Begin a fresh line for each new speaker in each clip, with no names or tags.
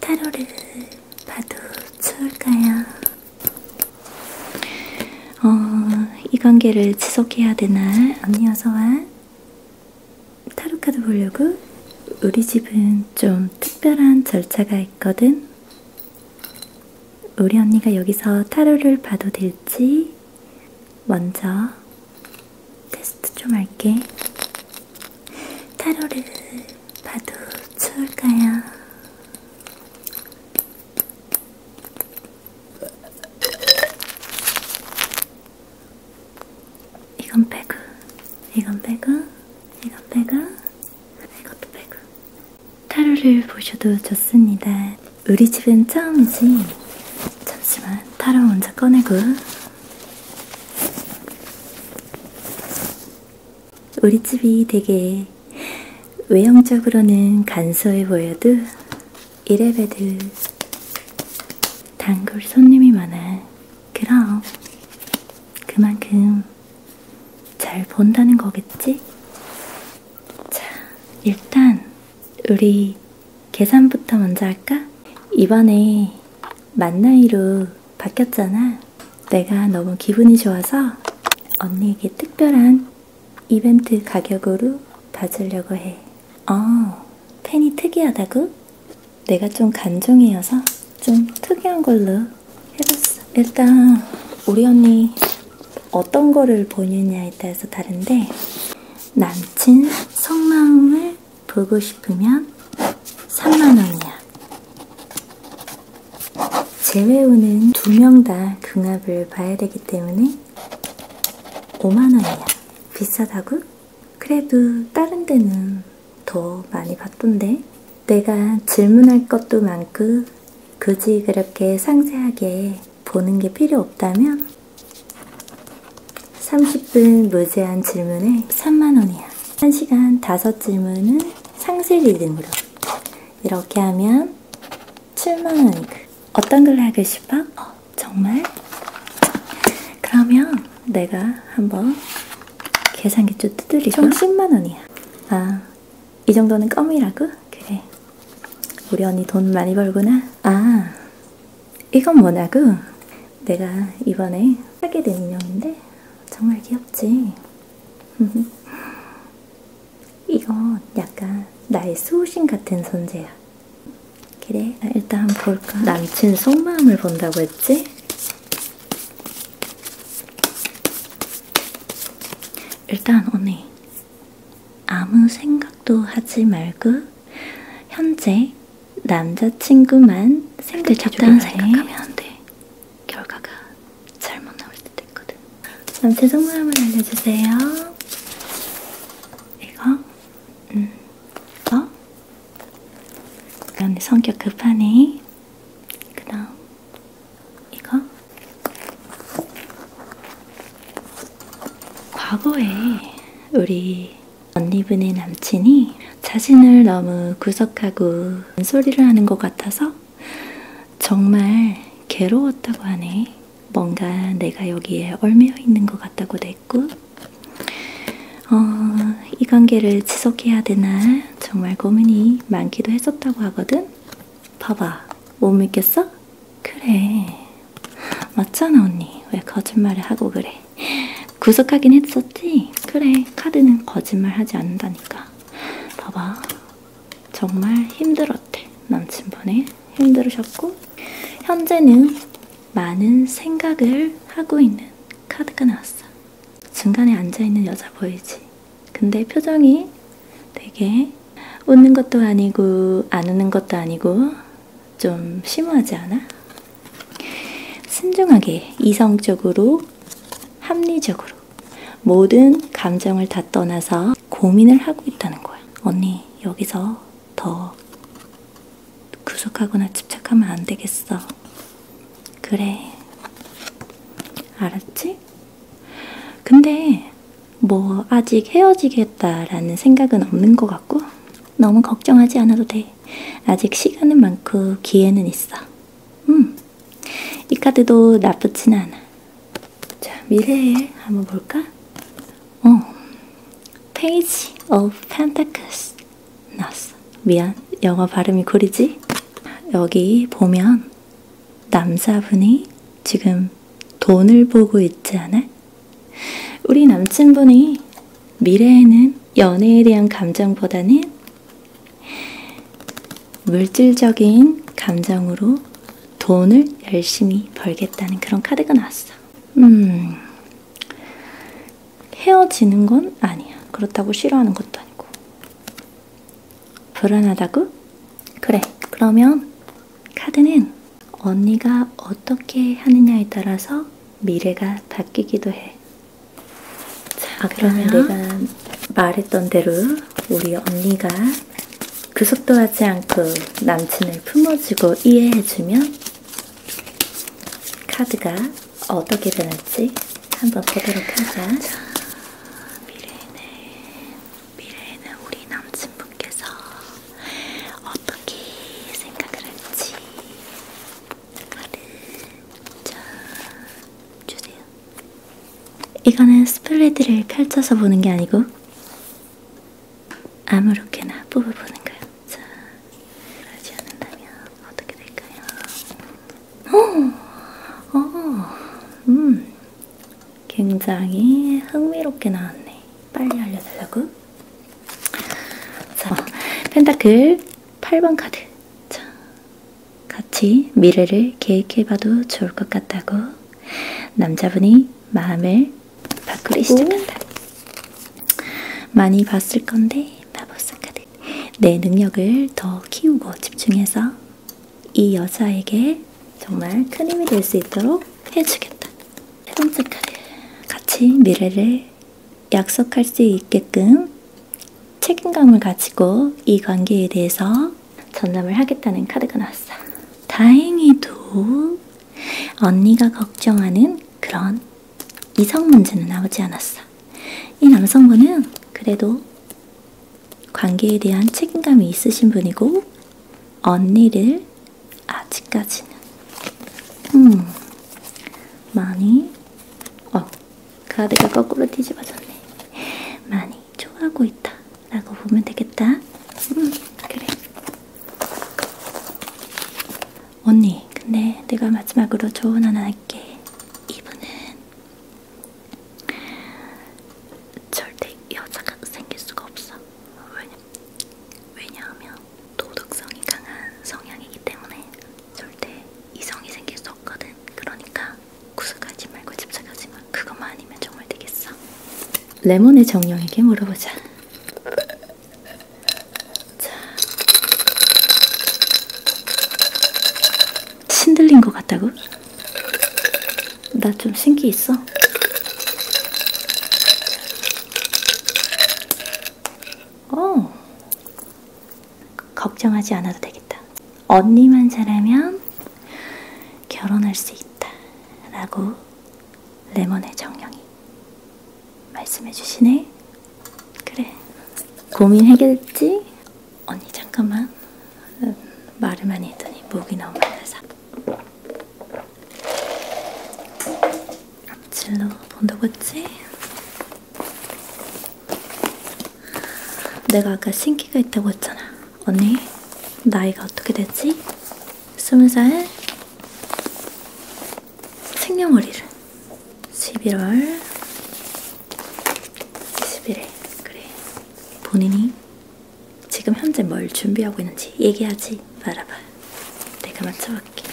타로를 봐도 좋을까요? 어, 이 관계를 지속해야 되나? 언니 어서 와. 타로 카드 보려고? 우리 집은 좀 특별한 절차가 있거든. 우리 언니가 여기서 타로를 봐도 될지 먼저 테스트 좀 할게. 타로를 봐도 좋을까요? 이건 빼고, 이건 빼고, 이건 빼고, 이것도 빼고. 타로를 보셔도 좋습니다. 우리 집은 처음이지. 잠시만, 타로 먼저 꺼내고. 우리 집이 되게 외형적으로는 간소해 보여도 이래봬도 단골 손님이 많아. 그럼 그만큼 잘 본다는 거겠지? 자, 일단 우리 계산부터 먼저 할까? 이번에 만 나이로 바뀌었잖아. 내가 너무 기분이 좋아서 언니에게 특별한 이벤트 가격으로 봐주려고 해. 어, 펜이 특이하다고? 내가 좀 간종이어서 좀 특이한 걸로 해봤어. 일단 우리 언니 어떤 거를 보느냐에 따라서 다른데 남친 성마음을 보고 싶으면 3만원이야. 제외우는 두 명다 궁합을 봐야 되기 때문에 5만원이야. 비싸다고? 그래도 다른 데는 더 많이 봤던데? 내가 질문할 것도 많고 굳이 그렇게 상세하게 보는 게 필요 없다면 30분 무제한 질문에 3만원이야. 1시간 5질문은 상세 리듬으로. 이렇게 하면 7만원이고. 그. 어떤 글 하고 싶어? 어, 정말? 그러면 내가 한번 계산기 좀 두드리고. 총 10만원이야. 아, 이 정도는 껌이라고? 그래. 우리 언니 돈 많이 벌구나. 아, 이건 뭐냐고? 내가 이번에 하게 된 인형인데 정말 귀엽지? 이건 약간 나의 수호신 같은 존재야. 그래, 일단 한번 볼까? 남친 속마음을 본다고 했지? 일단 언니 아무 생각도 하지 말고 현재 남자친구만 생각 적당한 생각하면 안 돼. 결과가 잘못 나올 때도 있거든. 그럼 제 속마음을 알려주세요. 이거? 음. 이거? 언니 성격 급하네. 그다음 이거? 과거에 우리 옷 입은 애 남친이 자신을 너무 구석하고 소리를 하는 것 같아서 정말 괴로웠다고 하네. 뭔가 내가 여기에 얽매여 있는 것 같다고도 했고, 어, 이 관계를 지속해야 되나 정말 고민이 많기도 했었다고 하거든? 봐봐, 못 믿겠어? 그래. 맞잖아, 언니. 왜 거짓말을 하고 그래. 구속하긴 했었지? 그래, 카드는 거짓말 하지 않는다니까. 봐봐. 정말 힘들었대, 남친분에. 힘들으셨고, 현재는 많은 생각을 하고 있는 카드가 나왔어. 중간에 앉아있는 여자 보이지? 근데 표정이 되게 웃는 것도 아니고, 안 웃는 것도 아니고, 좀 심오하지 않아? 신중하게 이성적으로 합리적으로 모든 감정을 다 떠나서 고민을 하고 있다는 거야. 언니 여기서 더 구속하거나 집착하면 안 되겠어. 그래. 알았지? 근데 뭐 아직 헤어지겠다라는 생각은 없는 것 같고 너무 걱정하지 않아도 돼. 아직 시간은 많고 기회는 있어. 음, 이 카드도 나쁘진 않아. 자, 미래에 한번 볼까? 어, 페이지 오브 펜타클스 나왔어. 미안, 영어 발음이 구리지? 여기 보면 남자분이 지금 돈을 보고 있지 않아? 우리 남친분이 미래에는 연애에 대한 감정보다는 물질적인 감정으로 돈을 열심히 벌겠다는 그런 카드가 나왔어. 음, 헤어지는 건 아니야. 그렇다고 싫어하는 것도 아니고. 불안하다고? 그래. 그러면 카드는 언니가 어떻게 하느냐에 따라서 미래가 바뀌기도 해. 자, 아, 그러면 내가 말했던 대로 우리 언니가 구속도 그 하지 않고 남친을 품어주고 이해해주면 카드가 어떻게 변할지 한번 보도록 하자. 자, 미래에는, 미래에는 우리 남친분께서 어떻게 생각을 할지 알을 쫙 주세요. 이거는 스플레드를 펼쳐서 보는 게 아니고 아무렇게나 뽑아보는 거예요. 자, 그러지 않는다면 어떻게 될까요? 오, 어, 오, 어, 음, 굉장히 흥미롭게 나왔네. 빨리 알려달라고? 자, 펜타클 8번 카드. 자, 같이 미래를 계획해봐도 좋을 것 같다고 남자분이 마음을 바꾸기 시작한다. 많이 봤을 건데 마법사 카드. 내 능력을 더 키우고 집중해서 이 여자에게 정말 큰 힘이 될 수 있도록 해주겠다. 세 번째 카드. 같이 미래를 약속할 수 있게끔 책임감을 가지고 이 관계에 대해서 전담을 하겠다는 카드가 나왔어. 다행히도 언니가 걱정하는 그런 이성 문제는 나오지 않았어. 이 남성분은 그래도 관계에 대한 책임감이 있으신 분이고 언니를 아직까지는 음 많이 어 가드가 거꾸로 뒤집어졌네 많이 좋아하고 있다 라고 보면 되겠다 음 그래 언니 근데 내가 마지막으로 조언 하나 할게 이분은 절대 여자가 생길 수가 없어 왜냐, 왜냐하면 도덕성이 강한 성향이기 때문에 절대 이성이 생길 수 없거든. 그러니까 구속하지 말고 집착하지 마. 그것만 아니면 정말 되겠어. 레몬의 정령에게 물어보자. 자. 신들린 것 같다고? 나 좀 신기 있어. 오, 어. 걱정하지 않아도 되겠다. 언니만 잘하면 결혼할 수 있다. 라고 레몬의 정령이 말씀해 주시네. 그래. 고민 해결했지? 언니 잠깐만. 음, 말을 많이 했더니 목이 너무 말라서. 앞질러 본다고 했지? 내가 아까 신기가 있다고 했잖아. 언니, 나이가 어떻게 되지? 스무 살? 생년월일은? 11월 21일. 그래. 본인이 지금 현재 뭘 준비하고 있는지 얘기하지. 말아봐. 내가 맞춰볼게.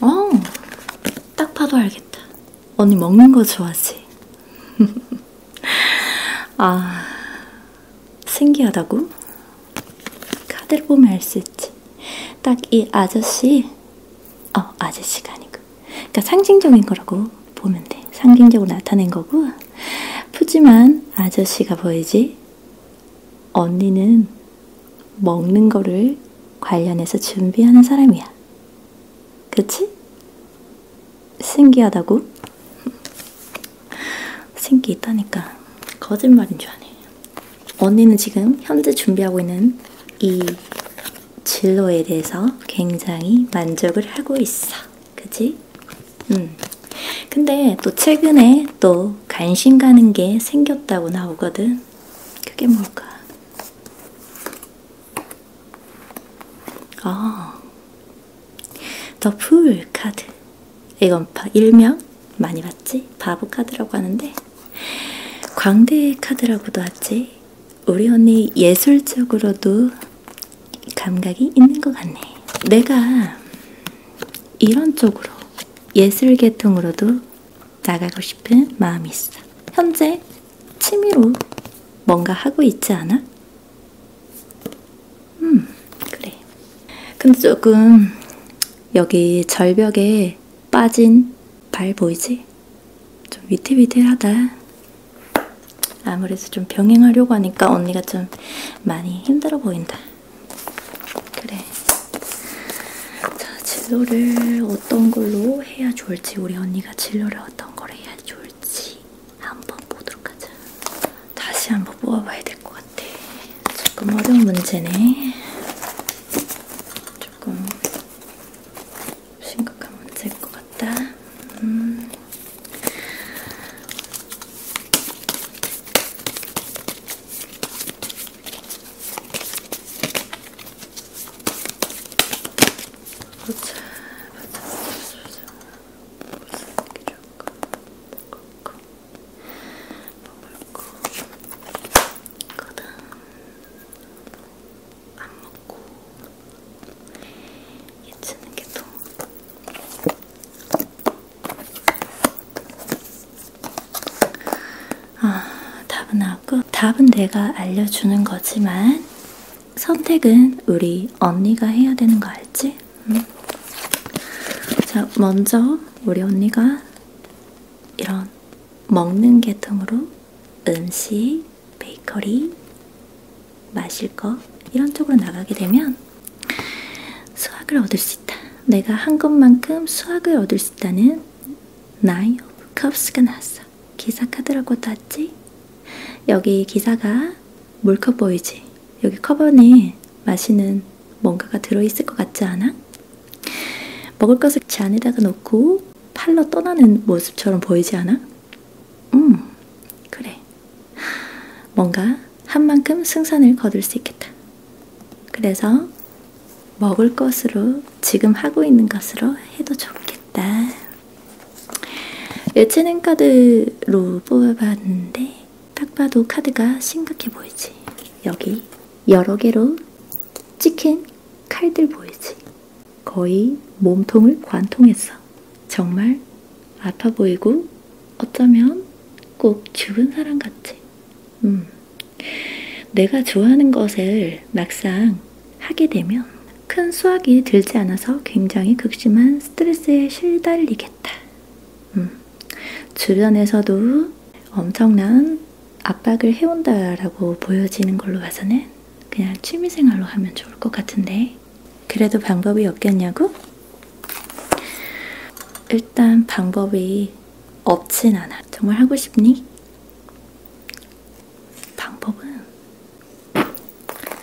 어, 딱 봐도 알겠다. 언니 먹는 거 좋아하지? 아, 신기하다고? 카드를 보면 알 수 있지. 딱 이 아저씨, 어, 아저씨가 아니고. 그러니까 상징적인 거라고 보면 돼. 상징적으로 나타낸 거고 푸짐한 아저씨가 보이지 언니는 먹는 거를 관련해서 준비하는 사람이야. 그치? 신기하다고? 신기 있다니까 거짓말인 줄 아네. 언니는 지금 현재 준비하고 있는 이 진로에 대해서 굉장히 만족을 하고 있어. 그치? 음. 근데 또 최근에 또 관심 가는 게 생겼다고 나오거든. 그게 뭘까? 아, 더풀 카드. 이건 일명 많이 봤지? 바보 카드라고 하는데 광대 카드라고도 하지. 우리 언니 예술적으로도 감각이 있는 것 같네. 내가 이런 쪽으로 예술 계통으로도 나가고 싶은 마음이 있어. 현재 취미로 뭔가 하고 있지 않아? 음, 그래. 근데 조금 여기 절벽에 빠진 발 보이지? 좀 위태위태하다. 아무래도 좀 병행하려고 하니까 언니가 좀 많이 힘들어 보인다. 그래. 자, 진로를 어떤 걸로 해야 좋을지, 우리 언니가 진로를 어떤 걸 해야 좋을지 한번 보도록 하자. 다시 한번 뽑아봐야 될 것 같아. 조금 어려운 문제네. 조금 심각한 문제일 것 같다. 음. 보자, 보자, 보자, 보자. 무슨 게 좋을까? 먹을까? 먹을까? 거든. 안 먹고 얘 치는 게 또 아, 답은 나왔고 답은 내가 알려주는 거지만 선택은 우리 언니가 해야 되는 거 알지? 응? 음. 자, 먼저 우리 언니가 이런 먹는 계통으로 음식, 베이커리, 마실 거 이런 쪽으로 나가게 되면 수학을 얻을 수 있다. 내가 한 것만큼 수학을 얻을 수 있다는 나이 오브 컵스가 나왔어. 기사 카드라고 땄지? 여기 기사가 몰컵 보이지? 여기 컵 안에 마시는 뭔가가 들어있을 것 같지 않아? 먹을 것을 잔에다가 넣고 팔로 떠나는 모습처럼 보이지 않아? 음, 그래. 뭔가 한 만큼 승산을 거둘 수 있겠다. 그래서 먹을 것으로 지금 하고 있는 것으로 해도 좋겠다. 예체능 카드로 뽑아봤는데 딱 봐도 카드가 심각해 보이지. 여기 여러 개로 찍힌 칼들 보이지. 거의 몸통을 관통했어. 정말 아파 보이고 어쩌면 꼭 죽은 사람 같지. 음. 내가 좋아하는 것을 막상 하게 되면 큰 수확이 들지 않아서 굉장히 극심한 스트레스에 실달리겠다. 음. 주변에서도 엄청난 압박을 해온다라고 보여지는 걸로 봐서는 그냥 취미생활로 하면 좋을 것 같은데 그래도 방법이 없겠냐고? 일단 방법이 없진 않아. 정말 하고 싶니? 방법은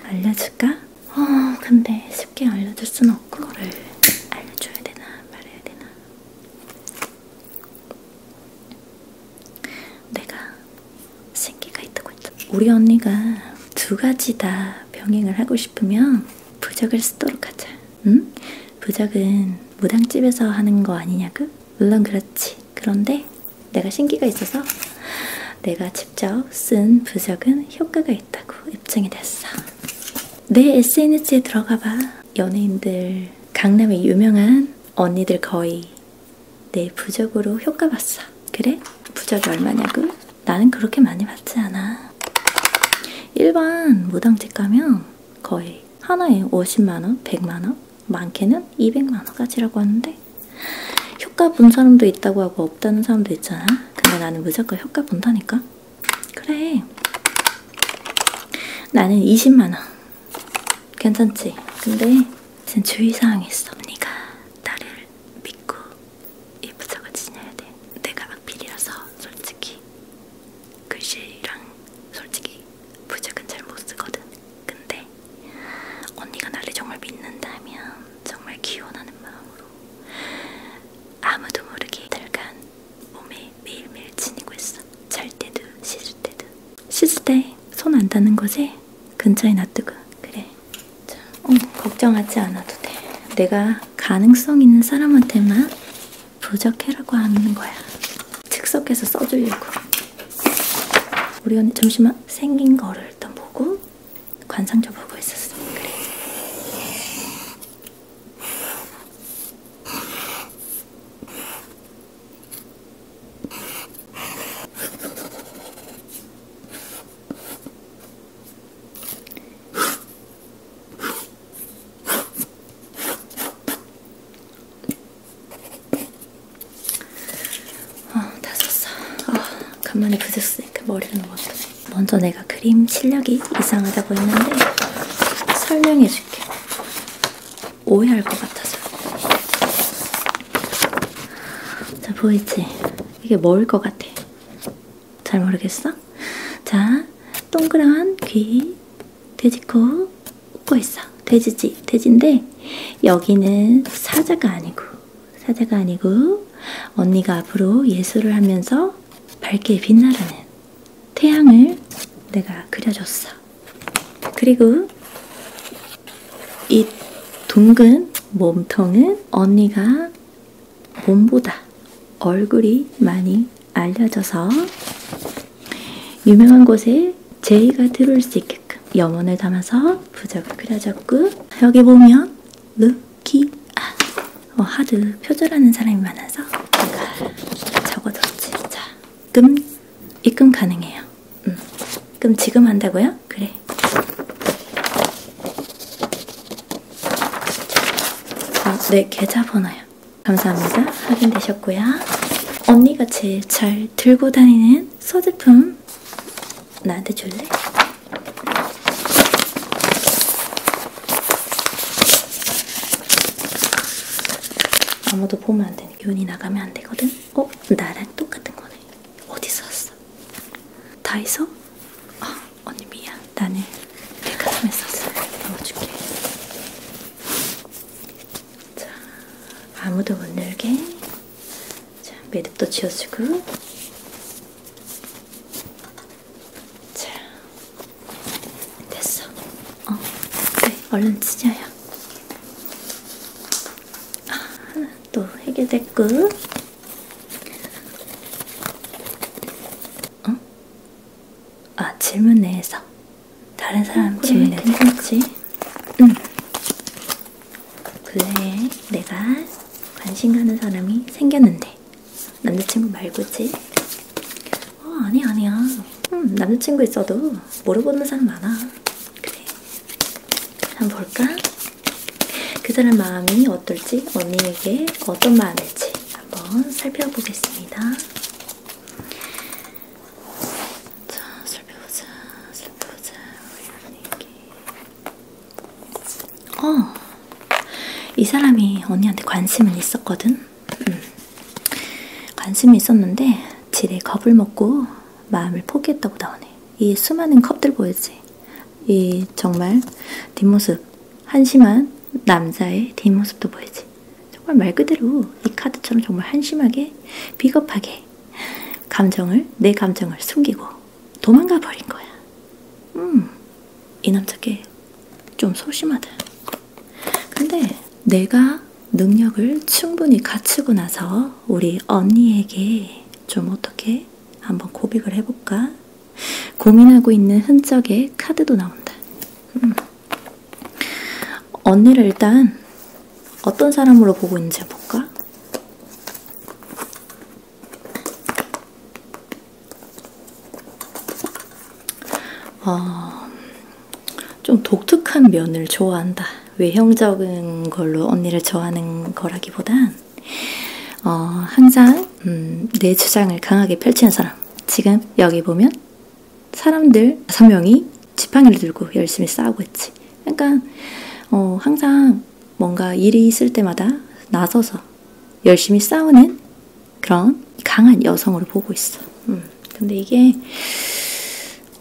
알려줄까? 어, 근데 쉽게 알려줄 순 없고 그걸 알려줘야 되나 말해야 되나 내가 생기가 있다고 했다. 우리 언니가 두 가지 다 병행을 하고 싶으면 부적을 쓰도록 하자. 응? 부적은 무당집에서 하는 거 아니냐고? 물론 그렇지. 그런데 내가 신기가 있어서 내가 직접 쓴 부적은 효과가 있다고 입증이 됐어. 내 SNS에 들어가봐. 연예인들, 강남의 유명한 언니들 거의 내 부적으로 효과 봤어. 그래? 부적이 얼마냐고? 나는 그렇게 많이 받지 않아. 일반 무당집 가면 거의 하나에 50만원, 100만원, 많게는 200만원까지라고 하는데 효과 본 사람도 있다고 하고 없다는 사람도 있잖아. 근데 나는 무조건 효과 본다니까. 그래. 나는 20만원. 괜찮지? 근데 지금 주의사항이 있어. 언니가 나를 믿고 이 부적을 지내야 돼. 내가 악필이라서 솔직히 글씨랑 솔직히 부적은 잘 못 쓰거든. 근데 언니가 나를 정말 믿는다면 정말 기원하는 마음으로 아무도 모르게 들간 몸에 매일매일 지니고 있어. 잘 때든 씻을 때든 씻을 때 손안 닿는 거지? 근처에 놔두고 그래 자, 어, 걱정하지 않아도 돼 내가 가능성 있는 사람한테만 부적해라고 하는 거야 즉석해서 써주려고 우리 언니 잠시만 생긴 거를 일단 보고 관상적 보고 있었어 그래 어, 다 썼어. 아, 간만에 부셨으니까 머리가 너무 아프네. 먼저 내가 그림 실력이 이상하다고 했는데 설명해줄게. 오해할 것 같아서. 자, 보이지? 이게 뭐일 것 같아? 잘 모르겠어? 자, 동그란 귀, 돼지코, 웃고 있어. 돼지지, 돼지인데, 여기는 사자가 아니고, 사자가 아니고, 언니가 앞으로 예술을 하면서 밝게 빛나라는 태양을 내가 그려줬어. 그리고 이 둥근 몸통은 언니가 몸보다 얼굴이 많이 알려져서 유명한 곳에 제이가 들어올 수 있게끔 염원을 담아서 부적을 그려줬고 여기 보면 루키 아 어, 하드 표절하는 사람이 많아서 제가 적어뒀지 자 입금 입금 가능해요. 음. 그럼 지금 한다고요? 그래. 어, 네 계좌번호요. 감사합니다. 확인되셨고요. 언니같이 잘 들고 다니는 소지품 나한테 줄래? 아무도 보면 안 돼. 윤이 나가면 안 되거든? 어? 나랑 똑같은 거네. 어디서 샀어? 다이소? 어, 언니 미안. 나는 백화점에 샀어. 넣어줄게. 자, 아무도 못 열게. 자, 매듭도 지어주고. 자, 됐어. 어, 그래, 네, 얼른 치자요. 하나 또 해결됐고. 어? 아, 질문 내에서. 다른 사람 어, 그래, 질문에 괜찮지? 응. 그래, 내가 관심 가는 사람이 생겼는데. 남자친구 말고지? 어, 아니야, 아니야. 음, 남자친구 있어도 모르보는 사람 많아. 그래. 한번 볼까? 그 사람 마음이 어떨지, 언니에게 어떤 마음일지 한번 살펴보겠습니다. 자, 살펴보자, 살펴보자. 우리 언니에게. 어, 이 사람이 언니한테 관심은 있었거든? 음, 관심이 있었는데 지레 겁을 먹고 마음을 포기했다고 나오네. 이 수많은 컵들 보이지? 이 정말 뒷모습 한심한 남자의 뒷모습도 보이지? 정말 말 그대로 이 카드처럼 정말 한심하게 비겁하게 감정을 내 감정을 숨기고 도망가 버린 거야. 음, 이 남자께 좀 소심하다. 근데 내가 능력을 충분히 갖추고 나서 우리 언니에게 좀 어떻게 한번 고백을 해볼까? 고민하고 있는 흔적에 카드도 나온다. 음. 언니를 일단 어떤 사람으로 보고 있는지 볼까? 어, 좀 독특한 면을 좋아한다. 외형적인 걸로 언니를 좋아하는 거라기보단 어, 항상 음, 내 주장을 강하게 펼치는 사람. 지금 여기 보면 사람들 5명이 지팡이를 들고 열심히 싸우고 있지. 그러니까 어, 항상 뭔가 일이 있을 때마다 나서서 열심히 싸우는 그런 강한 여성으로 보고 있어. 음. 근데 이게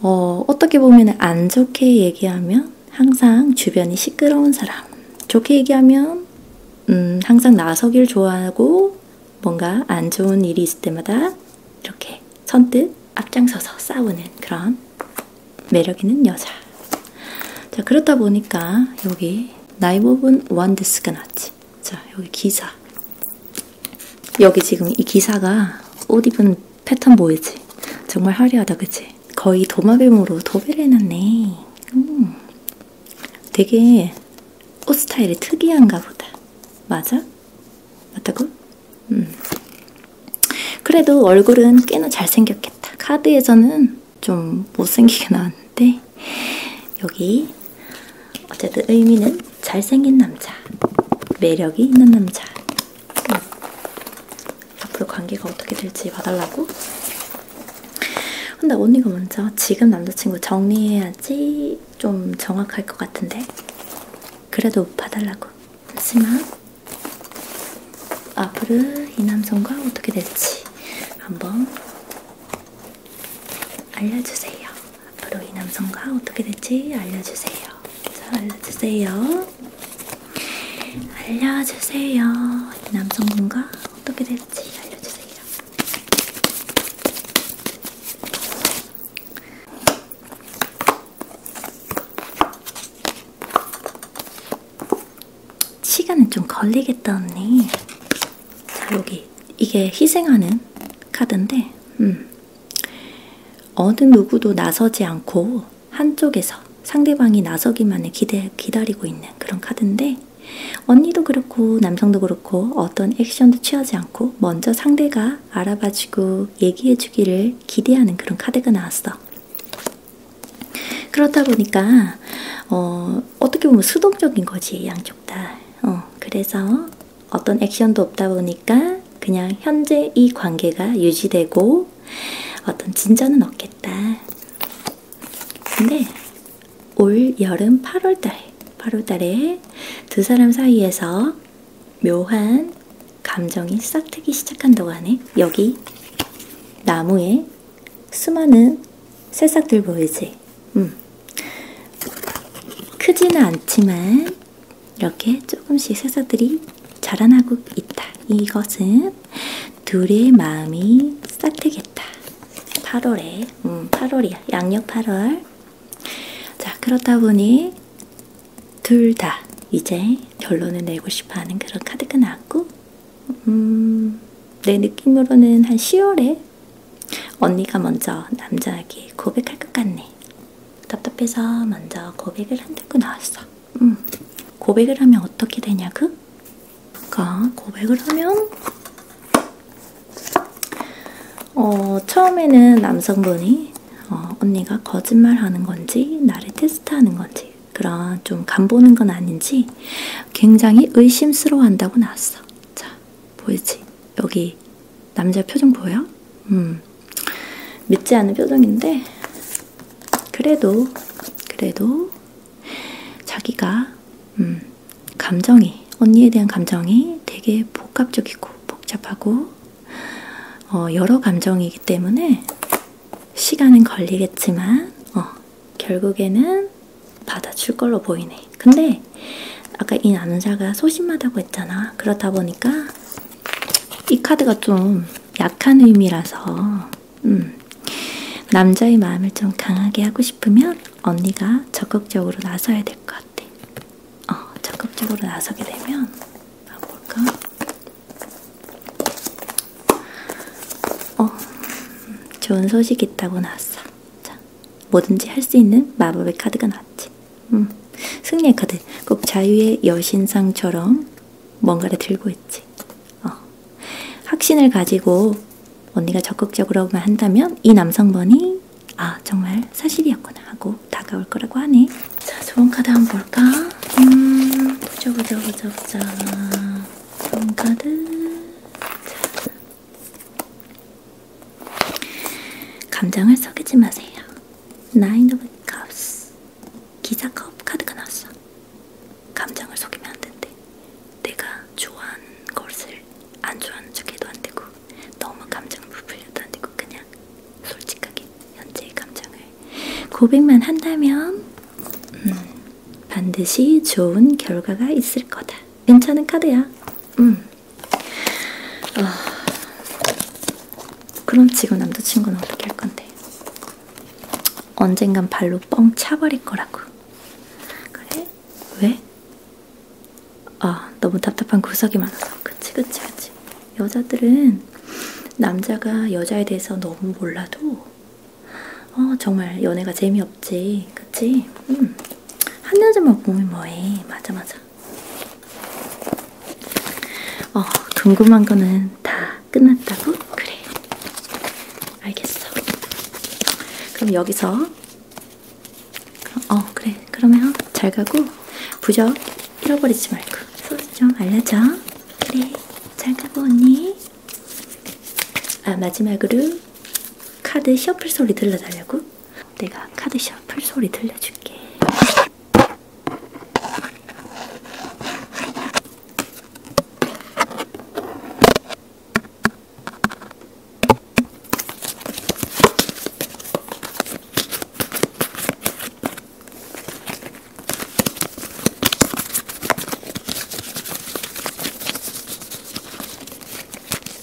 어, 어떻게 보면 안 좋게 얘기하면 항상 주변이 시끄러운 사람. 좋게 얘기하면 음, 항상 나서길 좋아하고 뭔가 안 좋은 일이 있을 때마다 이렇게 선뜻 앞장서서 싸우는 그런 매력 있는 여자. 자, 그렇다 보니까 여기 나이 부분 원드스가 났지. 자, 여기 기사. 여기 지금 이 기사가 옷 입은 패턴 보이지? 정말 화려하다, 그치? 거의 도마뱀으로 도배를 해놨네. 음. 되게 옷 스타일이 특이한가 보다. 맞아? 맞다고? 음. 그래도 얼굴은 꽤나 잘생겼겠다. 카드에서는 좀 못생기게 나왔는데 여기 어쨌든 의미는 잘생긴 남자, 매력이 있는 남자. 음. 앞으로 관계가 어떻게 될지 봐달라고. 근데 언니가 먼저 지금 남자친구 정리해야지 좀 정확할 것 같은데. 그래도 봐달라고. 잠시만. 앞으로 이 남성과 어떻게 될지 한번 알려주세요. 앞으로 이 남성과 어떻게 될지 알려주세요. 저 알려주세요. 알려주세요. 이 남성분과 어떻게 될지 알려주세요. 시간은 좀 걸리겠다 언니. 자, 여기 이게 희생하는 카드인데, 음. 어느 누구도 나서지 않고 한쪽에서 상대방이 나서기만을 기대, 기다리고 있는 그런 카드인데, 언니도 그렇고 남성도 그렇고 어떤 액션도 취하지 않고 먼저 상대가 알아봐주고 얘기해주기를 기대하는 그런 카드가 나왔어. 그렇다 보니까 어, 어떻게 보면 수동적인 거지 양쪽 다. 어, 그래서 어떤 액션도 없다 보니까 그냥 현재 이 관계가 유지되고 어떤 진전은 없겠다. 근데 올 여름 8월달, 8월달에 두 사람 사이에서 묘한 감정이 싹트기 시작한다고 하네. 여기 나무에 수많은 새싹들 보이지? 음. 크지는 않지만 이렇게 조금씩 새서들이 자라나고 있다. 이것은 둘의 마음이 싹트겠다. 8월에, 음, 8월이야. 양력 8월. 자, 그렇다 보니 둘 다 이제 결론을 내고 싶어 하는 그런 카드가 나왔고, 음, 내 느낌으로는 한 10월에 언니가 먼저 남자에게 고백할 것 같네. 답답해서 먼저 고백을 한다고 나왔어. 음. 고백을 하면 어떻게 되냐고? 그러니까 고백을 하면 어, 처음에는 남성분이 어, 언니가 거짓말하는 건지 나를 테스트하는 건지 그런 좀 간보는 건 아닌지 굉장히 의심스러워한다고 나왔어. 자, 보이지? 여기 남자 표정 보여? 음. 믿지 않은 표정인데, 그래도, 그래도, 자기가, 음, 감정이, 언니에 대한 감정이 되게 복합적이고 복잡하고, 어, 여러 감정이기 때문에, 시간은 걸리겠지만, 어, 결국에는 받아줄 걸로 보이네. 근데 아까 이 남자가 소심하다고 했잖아. 그렇다 보니까 이 카드가 좀 약한 의미라서 음. 남자의 마음을 좀 강하게 하고 싶으면 언니가 적극적으로 나서야 될 것 같아. 어, 적극적으로 나서게 되면 아 볼까? 어, 좋은 소식 있다고 나왔어. 자, 뭐든지 할 수 있는 마법의 카드가 나왔지. 음, 승리의 카드. 꼭 자유의 여신상처럼 뭔가를 들고 있지. 어. 확신을 가지고 언니가 적극적으로만 한다면 이 남성분이 아 정말 사실이었구나 하고 다가올 거라고 하네. 자 좋은 카드 한번 볼까? 음, 보자 보자 보자 보자. 좋은 카드. 자, 감정을 썩이지 마세요. Nine of Cups. 기사 컵 카드가 나왔어. 감정을 속이면 안 된대. 내가 좋아하는 것을 안 좋아하는 척해도 안 되고, 너무 감정을 부풀려도 안 되고, 그냥 솔직하게 현재의 감정을 고백만 한다면 음, 반드시 좋은 결과가 있을 거다. 괜찮은 카드야. 음. 아, 그럼 지금 남자친구는 어떻게 할 건데? 언젠간 발로 뻥 차버릴 거라고. 그래? 왜? 아, 너무 답답한 구석이 많아서. 그치, 그치, 그치. 여자들은 남자가 여자에 대해서 너무 몰라도 어, 정말 연애가 재미없 없지, 그치? 응. 음. 한여름만 보면 뭐해? 맞아, 맞아. 어, 궁금한 거는 다 끝났다고? 그래. 알겠어. 그럼 여기서, 어, 그래. 그러면 잘 가고, 부적 잃어버리지 말고, 소식 좀 알려줘. 그래. 잘 가고, 언니. 아, 마지막으로 카드 셔플 소리 들려달라고? 내가 카드 셔플 소리 들려줄게.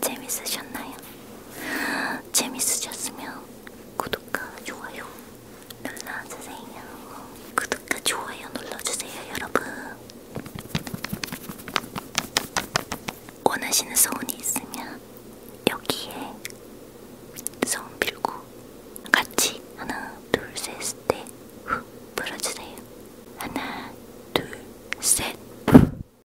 재밌으셨나요? 재밌으셨으면 구독과 좋아요 눌러주세요. 구독과 좋아요 눌러주세요, 여러분. 원하시는 소원이 있으면 여기에 소원 빌고 같이 하나, 둘, 셋, 넷, 후 불어주세요. 하나, 둘, 셋.